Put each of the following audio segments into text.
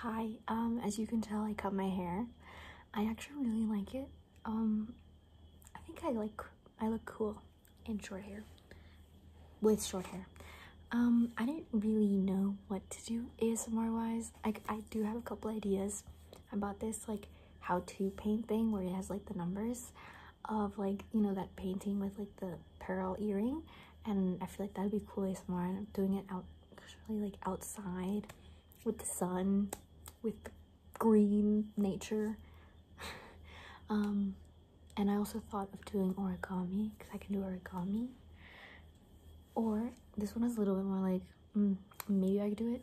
Hi, um, as you can tell, I cut my hair. I actually really like it. Um, I think I like, I look cool in short hair, with short hair. Um, I didn't really know what to do ASMR-wise. I do have a couple ideas about this, like, how-to paint thing where it has, like, the numbers of, like, you know, that painting with, like, the pearl earring. And I feel like that'd be cool ASMR, I'm doing it out actually like outside with the sun, with green nature. um, and I also thought of doing origami because I can do origami. Or this one is a little bit more like mm, maybe I could do it.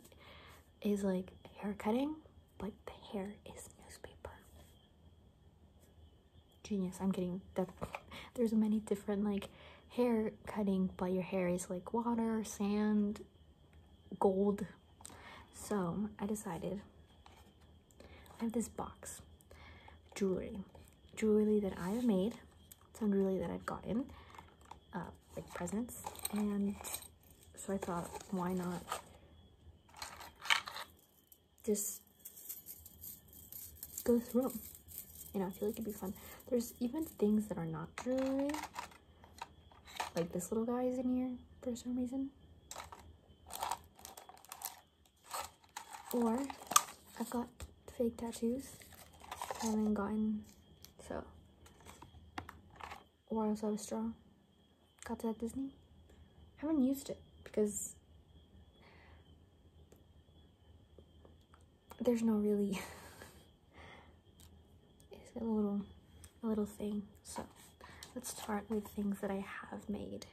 Is like hair cutting, but the hair is newspaper genius i'm kidding that there's many different like hair cutting but your hair is like water sand gold so i decided i have this box jewelry jewelry that i have made some jewelry that i've gotten uh, like presents and so i thought why not just go through them. You know, I feel like it'd be fun. There's even things that are not jewelry. Like this little guy is in here for some reason. Or I've got fake tattoos I haven't gotten so. Or I also have a straw. Got that Disney. haven't used it because there's no really it's a little a little thing so let's start with things that I have made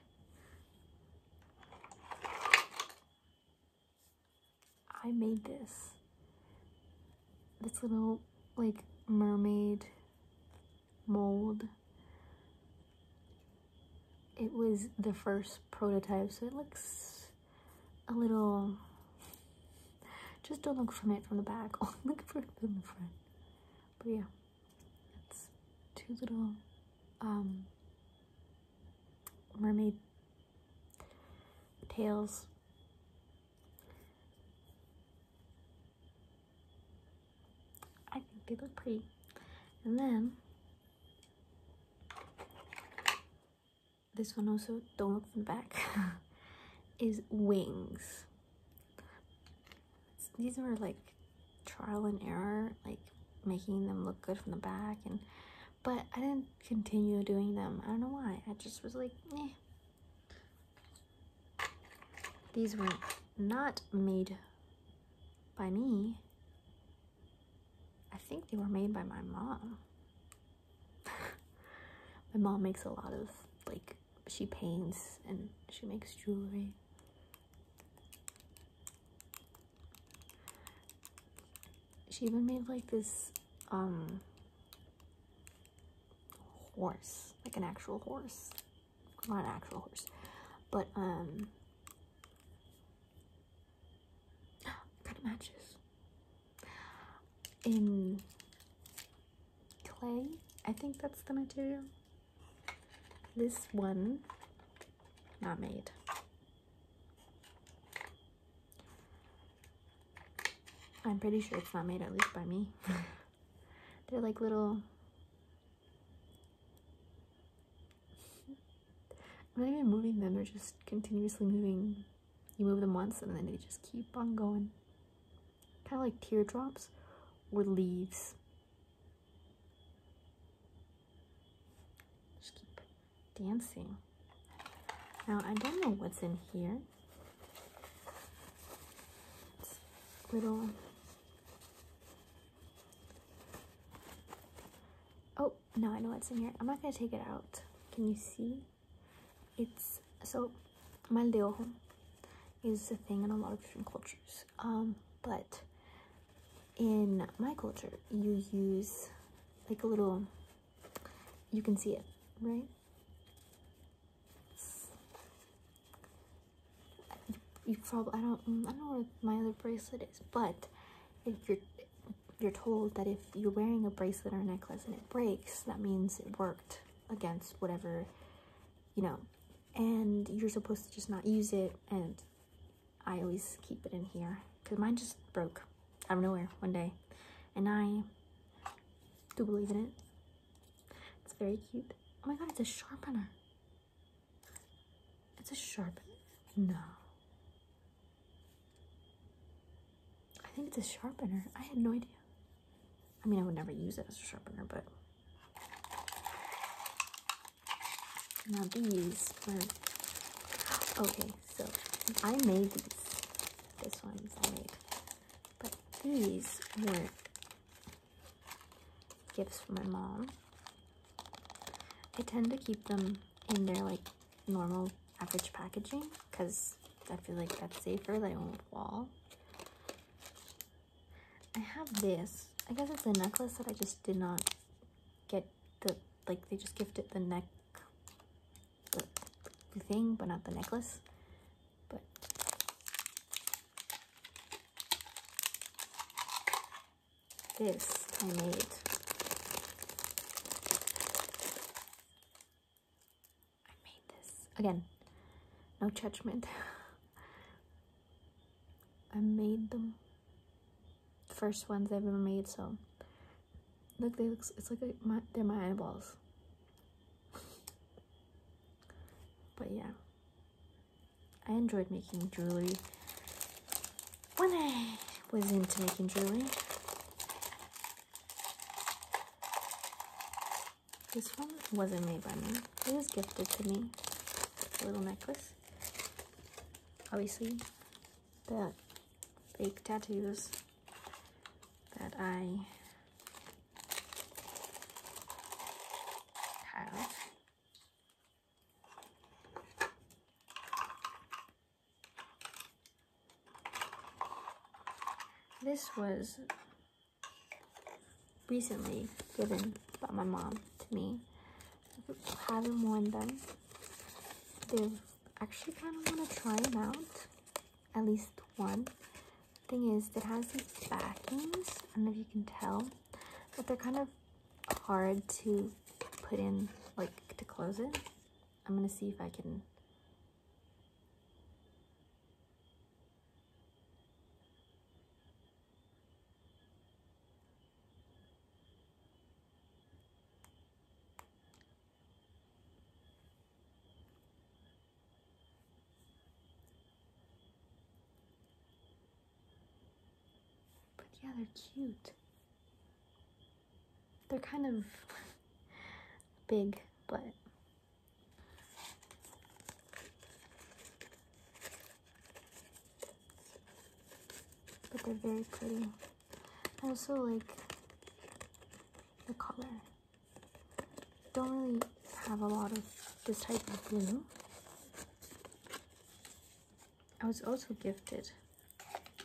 I made this this little like mermaid mold it was the first prototype, so it looks a little. Just don't look from it from the back. Only look from the front. But yeah, it's two little um, mermaid tails. I think they look pretty. And then this one also don't look from the back is wings these were like trial and error like making them look good from the back and but i didn't continue doing them i don't know why i just was like eh. these were not made by me I think they were made by my mom. my mom makes a lot of like she paints and she makes jewelry. She even made like this um horse, like an actual horse. Not an actual horse, but um kind of matches. In clay, I think that's the material. This one, not made. I'm pretty sure it's not made, at least by me. They're like little I'm not even moving them, they're just continuously moving. You move them once and then they just keep on going. Kind of like teardrops or leaves. Just keep dancing. Now, I don't know what's in here. little. Oh, no, I know what's in here. I'm not gonna take it out. Can you see? It's so mal de ojo, is a thing in a lot of different cultures. Um, but in my culture, you use like a little. You can see it, right? you probably I don't I don't know where my other bracelet is, but if you're you're told that if you're wearing a bracelet or necklace and it breaks, that means it worked against whatever, you know, and you're supposed to just not use it. And I always keep it in here because mine just broke out of nowhere one day, and I do believe in it. It's very cute. Oh my god, it's a sharpener. It's a sharpener. no. I think it's a sharpener. I had no idea. I mean, I would never use it as a sharpener, but. Now these are, okay, so I made these. This one's I made. But these were not gifts from my mom. I tend to keep them in their like normal average packaging because I feel like that's safer, they won't fall. I have this. I guess it's a necklace that I just did not get the, like they just gifted the neck, the, the thing, but not the necklace. But this I made. I made this. Again, no judgment. I made them first ones I've ever made, so look, they look, it's like they're my eyeballs. but yeah, I enjoyed making jewelry when I was into making jewelry. This one wasn't made by me. It was gifted to me. A little necklace. Obviously, the fake tattoos that I have. This was recently given by my mom to me. I haven't worn them. They've actually kind of want to try them out. At least one. Thing is, it has these backings. I don't know if you can tell, but they're kind of hard to put in, like to close it. I'm gonna see if I can but yeah, they're cute. They're kind of big, but but they're very pretty. I also like the color. Don't really have a lot of this type of blue. I was also gifted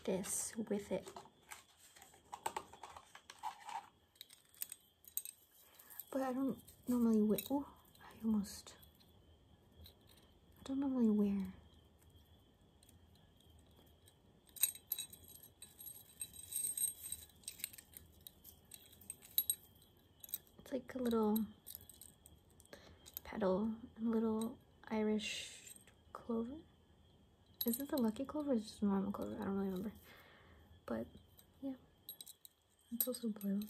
this with it. But I don't normally wear, oh, I almost, I don't normally wear it's like a little petal and a little Irish clover. Is it the lucky clover or just normal clover? I don't really remember. But yeah, it's also blue.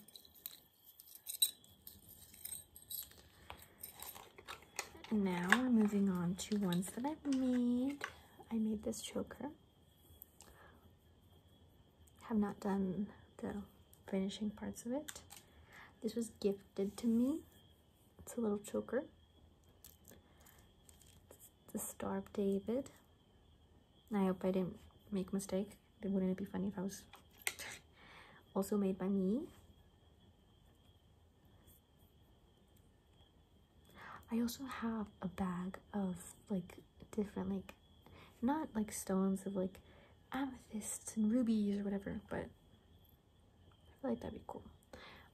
And now we're moving on to ones that I've made. I made this choker. Have not done the finishing parts of it. This was gifted to me. It's a little choker. It's the Star David. I hope I didn't make mistake. Wouldn't it be funny if I was also made by me? I also have a bag of like different like not like stones of like amethysts and rubies or whatever, but I feel like that'd be cool.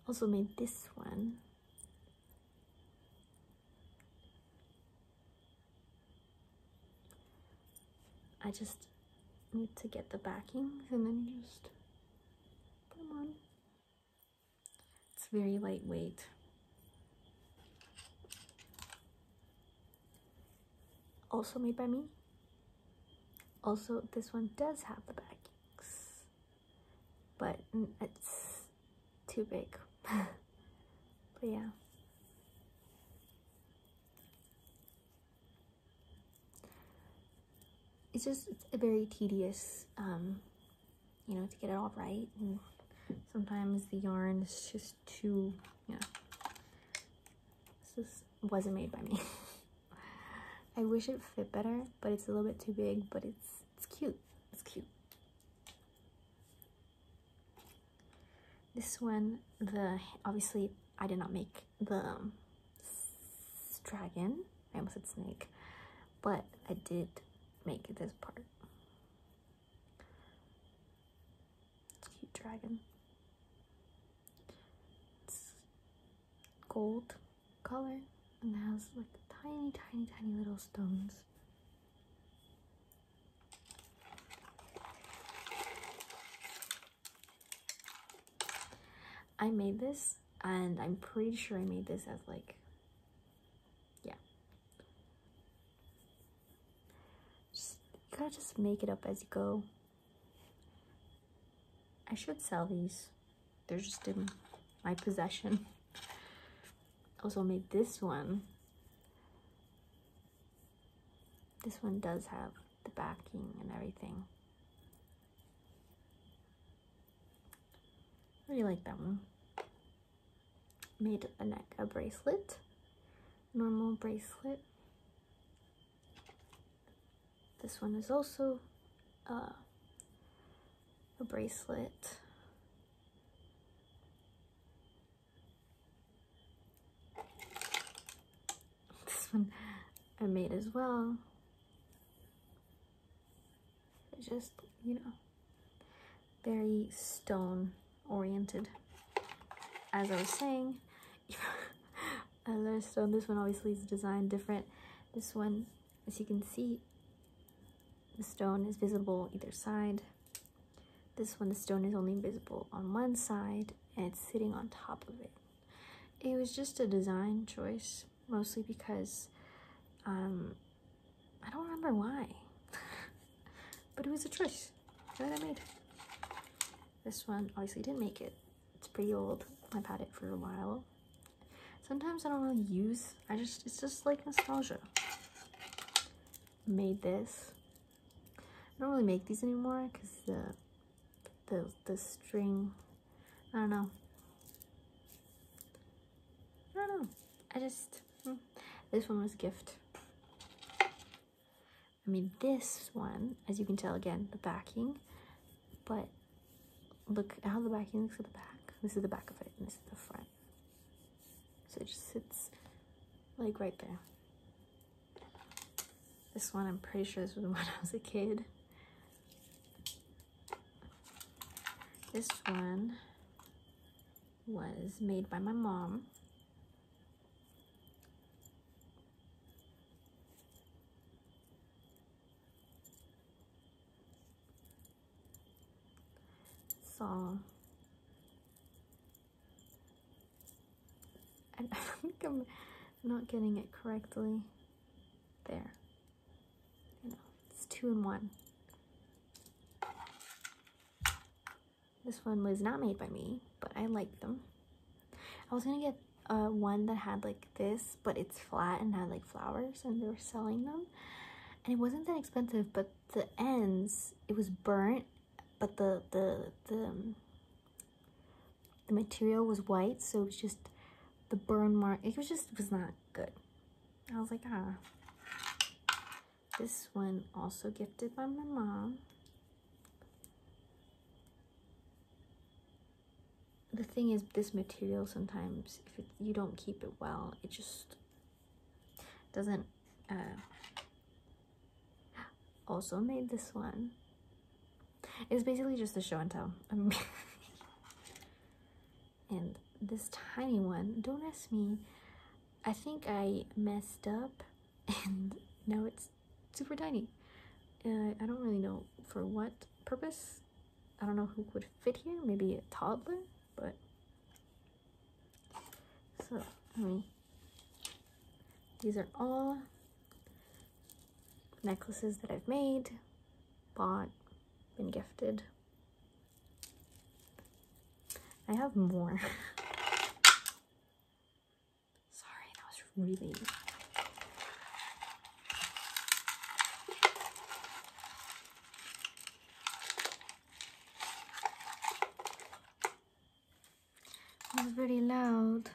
Also made this one. I just need to get the backing and then just put them on. It's very lightweight. Also made by me. Also, this one does have the backings, but it's too big. but yeah. It's just it's a very tedious, um, you know, to get it all right. And sometimes the yarn is just too, yeah. This is, wasn't made by me. I wish it fit better, but it's a little bit too big, but it's it's cute. It's cute. This one, the obviously I did not make the um, dragon. I almost said snake, but I did make this part. Cute dragon. It's gold color and has like tiny, tiny, tiny little stones. I made this and I'm pretty sure I made this as like, yeah you gotta just make it up as you go. I should sell these. They're just in my possession. Also made this one. This one does have the backing and everything. really like that one. Made a neck, a bracelet, normal bracelet. This one is also uh, a bracelet. This one I made as well. It's just, you know, very stone oriented. As I was saying, I stone. This one obviously is designed different. This one, as you can see, the stone is visible either side. This one, the stone is only visible on one side and it's sitting on top of it. It was just a design choice, mostly because um, I don't remember why, but it was a choice that I made. This one obviously didn't make it. It's pretty old. I've had it for a while. Sometimes I don't really use, I just, it's just like nostalgia. Made this. I don't really make these anymore because the, the, the string, I don't know. I don't know. I just, hmm. this one was a gift. I mean, this one, as you can tell again, the backing, but look how the backing looks at the back. This is the back of it, and this is the front. So it just sits like right there. This one, I'm pretty sure this was when I was a kid. This one was made by my mom song. I I'm not getting it correctly. There. You know, it's two and one. This one was not made by me, but I like them. I was gonna get uh, one that had like this, but it's flat and had like flowers, and they were selling them. And it wasn't that expensive, but the ends, it was burnt, but the the the um, the material was white, so it was just the burn mark. It was just it was not good. I was like, ah. This one also gifted by my mom. The thing is, this material sometimes, if you don't keep it well, it just doesn't. Uh, also made this one. It's basically just a show and tell. and this tiny one, don't ask me I think I messed up and now it's super tiny. Uh, I don't really know for what purpose. I don't know who would fit here. Maybe a toddler, but so I mean, these are all necklaces that I've made, bought, been gifted. I have more. Sorry, that was really. It was very loud.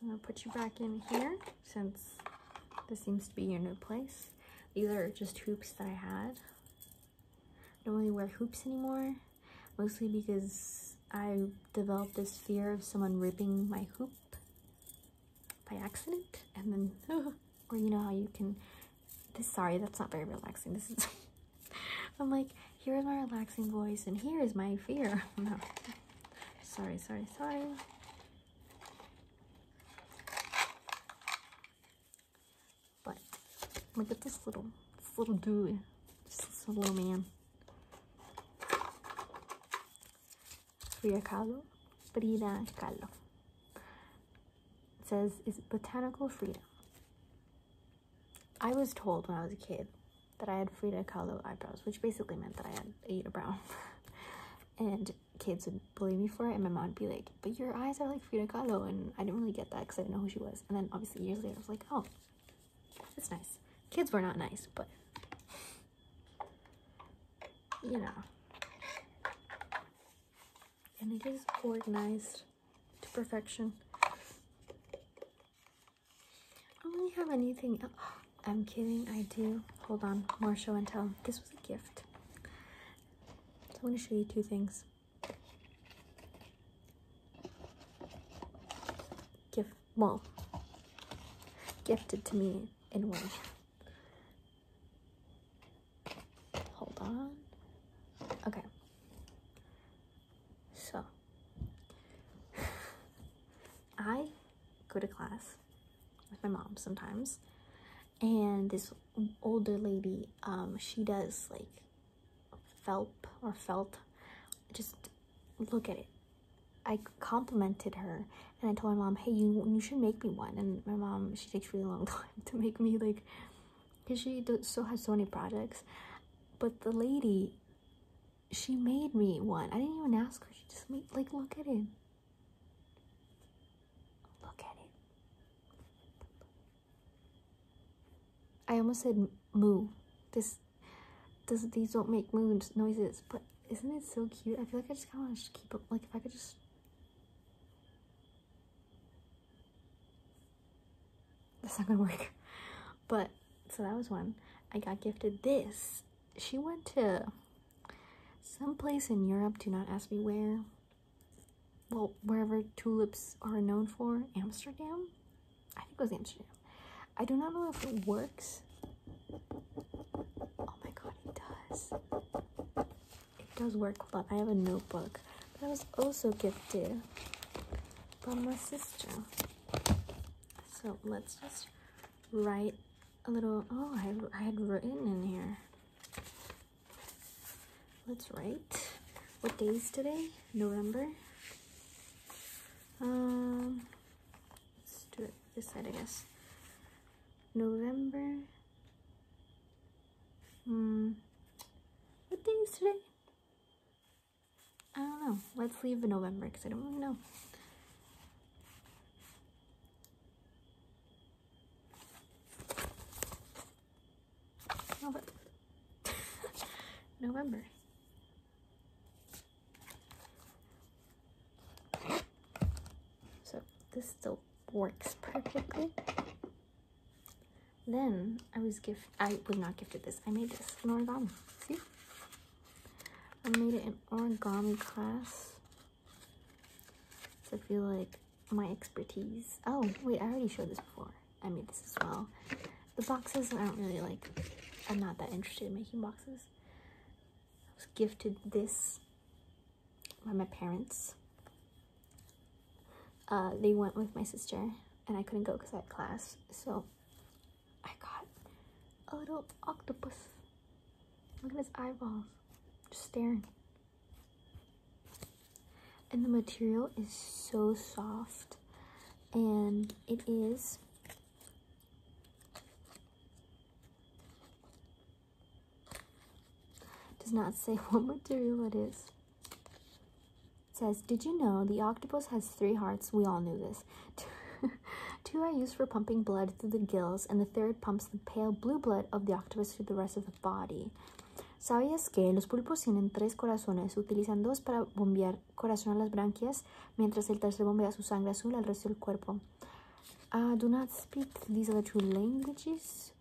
I'm gonna put you back in here since this seems to be your new place. These are just hoops that I had. I don't really wear hoops anymore, mostly because I developed this fear of someone ripping my hoop by accident, and then, oh, or you know how you can, sorry, that's not very relaxing, this is, I'm like, here is my relaxing voice, and here is my fear. no. Sorry, sorry, sorry. But look at this little little dude. This little man. Frida Kahlo. Frida Kahlo. says is botanical freedom. I was told when I was a kid that I had Frida Kahlo eyebrows, which basically meant that I had eight a brown. and kids would bully me for it and my mom would be like but your eyes are like Frida Kahlo and I didn't really get that because I didn't know who she was and then obviously years later I was like oh that's nice kids were not nice but you know and it is organized to perfection I don't really have anything I'm kidding I do hold on more show and tell this was a gift so I'm going to show you two things. Gift, well, gifted to me in one. Hold on. Okay. So, I go to class with my mom sometimes, and this older lady um she does like felt or felt just look at it i complimented her and i told my mom hey you you should make me one and my mom she takes really long time to make me like because she does, so has so many projects but the lady she made me one i didn't even ask her she just made like look at it Look at it. I almost said moo. This, does these don't make moo noises, but isn't it so cute? I feel like I just kind of want to keep it. Like if I could just. That's not gonna work. But so that was one. I got gifted this. She went to Someplace in Europe, do not ask me where. Well, wherever tulips are known for, Amsterdam? I think it was Amsterdam. I do not know if it works. Oh my god, it does. It does work, but I have a notebook that was also gifted by my sister. So let's just write a little. Oh, I, I had written in here. Let's write. What day is today? November. Um, let's do it this side, I guess. November. Hmm. What day is today? I don't know. Let's leave November because I don't know. November. So this still works perfectly. Then I was gift I was not gifted this. I made this origami. See? I made it in origami class so I feel like my expertise. Oh, wait, I already showed this before. I made this as well. The boxes, I don't really like. I'm not that interested in making boxes. I was gifted this by my parents. Uh, they went with my sister and I couldn't go because I had class. So I got a little octopus Look at his eyeballs. Just staring. And the material is so soft. And it is does not say what material it is. It says, did you know the octopus has three hearts? We all knew this. Two are used for pumping blood through the gills and the third pumps the pale blue blood of the octopus to the rest of the body. ¿Sabías que los pulpos tienen tres corazones? Utilizan dos para bombear corazón a las branquias, mientras el tercero bombea su sangre azul al resto del cuerpo. I ah, do not speak these other two languages.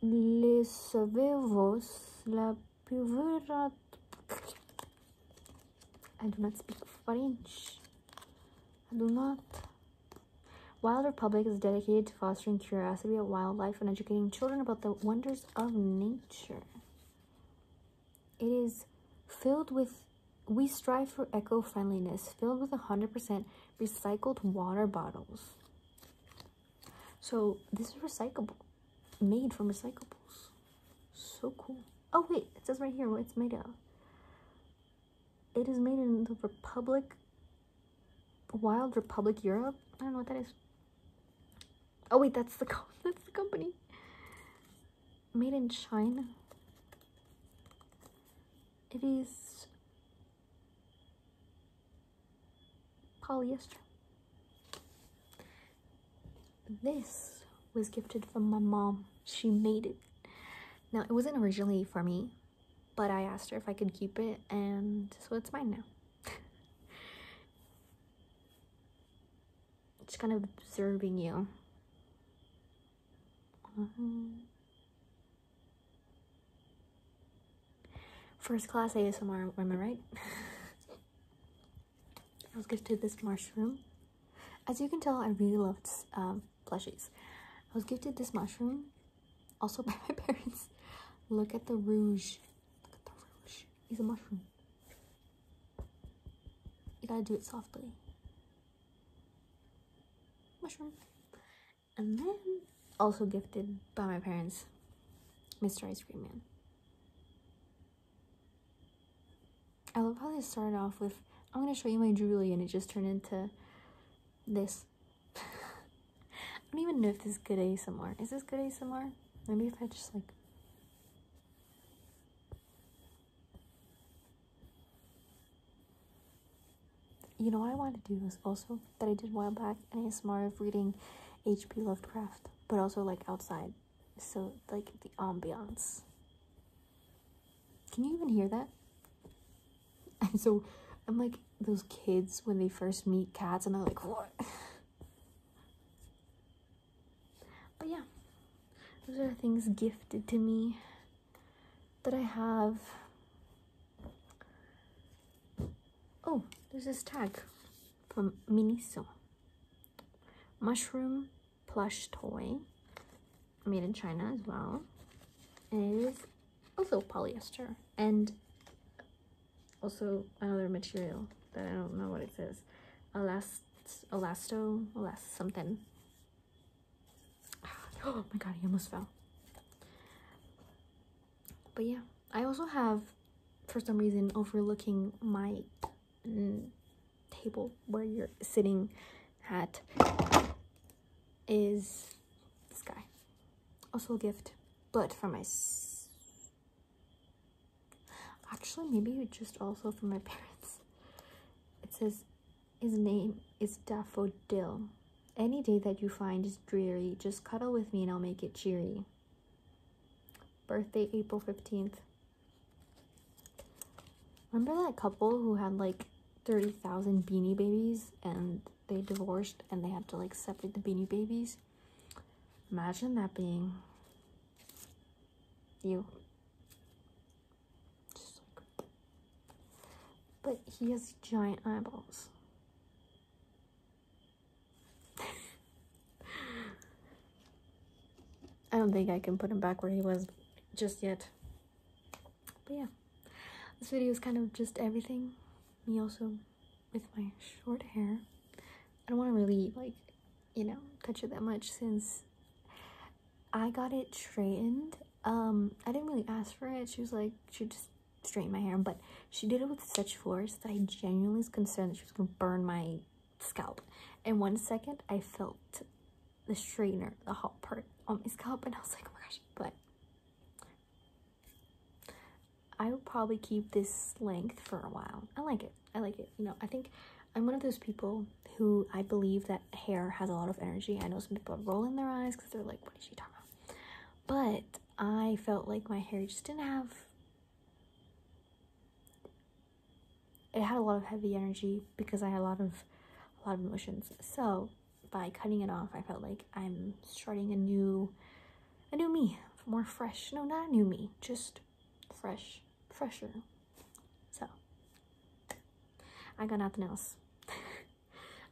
Les savez la I do not speak French. I do not Wild Republic is dedicated to fostering curiosity about wildlife and educating children about the wonders of nature. It is filled with, we strive for eco friendliness, filled with 100% recycled water bottles. So, this is recyclable, made from recyclables. So cool. Oh, wait, it says right here what it's made of. It is made in the Republic, Wild Republic Europe. I don't know what that is. Oh wait, that's the that's the company. Made in China. It is polyester. This was gifted from my mom. She made it. Now, it wasn't originally for me but I asked her if I could keep it, and so it's mine now. just kind of observing you. Uh-huh. first class ASMR, am I right? I was gonna this mushroom. As you can tell, I really love um, plushies. I was gifted this mushroom also by my parents. Look at the rouge. Look at the rouge. He's a mushroom. You gotta do it softly. Mushroom. And then also gifted by my parents, Mr. Ice Cream Man. I love how they started off with, I'm gonna show you my jewelry, and it just turned into this. I don't even know if this is good ASMR. Is this good ASMR? Maybe if I just like you know what I wanted to do was also that I did a while back and an ASMR of reading H.P. Lovecraft, but also like outside, so like the ambiance. Can you even hear that? And so I'm like those kids when they first meet cats and they're like, what? But yeah, those are things gifted to me that I have. Oh, there's this tag from Miniso. Mushroom plush toy made in China as well. And it is also polyester and also another material that I don't know what it is, says. Elast elasto elast something. Ah, oh my god, I almost fell. But yeah, I also have for some reason overlooking my mm, table where you're sitting at is this guy. Also a gift, but for my... Actually, maybe just also for my parents. It says, his name is Daffodil. Any day that you find is dreary, just cuddle with me and I'll make it cheery. Birthday, April 15th. Remember that couple who had like 30,000 beanie babies and they divorced and they had to like separate the beanie babies. Imagine that being you. But he has giant eyeballs. I don't think I can put him back where he was just yet. But yeah, this video is kind of just everything. Me also with my short hair. I don't want to really like, you know, touch it that much since I got it straightened. Um, I didn't really ask for it. She was like, she just straightened my hair, but she did it with such force that I genuinely was concerned that she was gonna burn my scalp. In one second, I felt the strainer, the hot part on my scalp, and I was like, oh my gosh, but I will probably keep this length for a while. I like it. I like it. You know, I think I'm one of those people who I believe that hair has a lot of energy. I know some people are rolling their eyes because they're like, what is she talking about? But I felt like my hair just didn't have... It had a lot of heavy energy because I had a lot of a lot of emotions. So by cutting it off, I felt like I'm starting a new, a new me, more fresh. No, not a new me, just fresh, fresher. So, I got nothing else.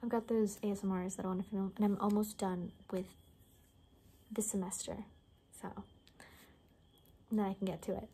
I've got those ASMRs that I want to film, and I'm almost done with this semester. So, then I can get to it.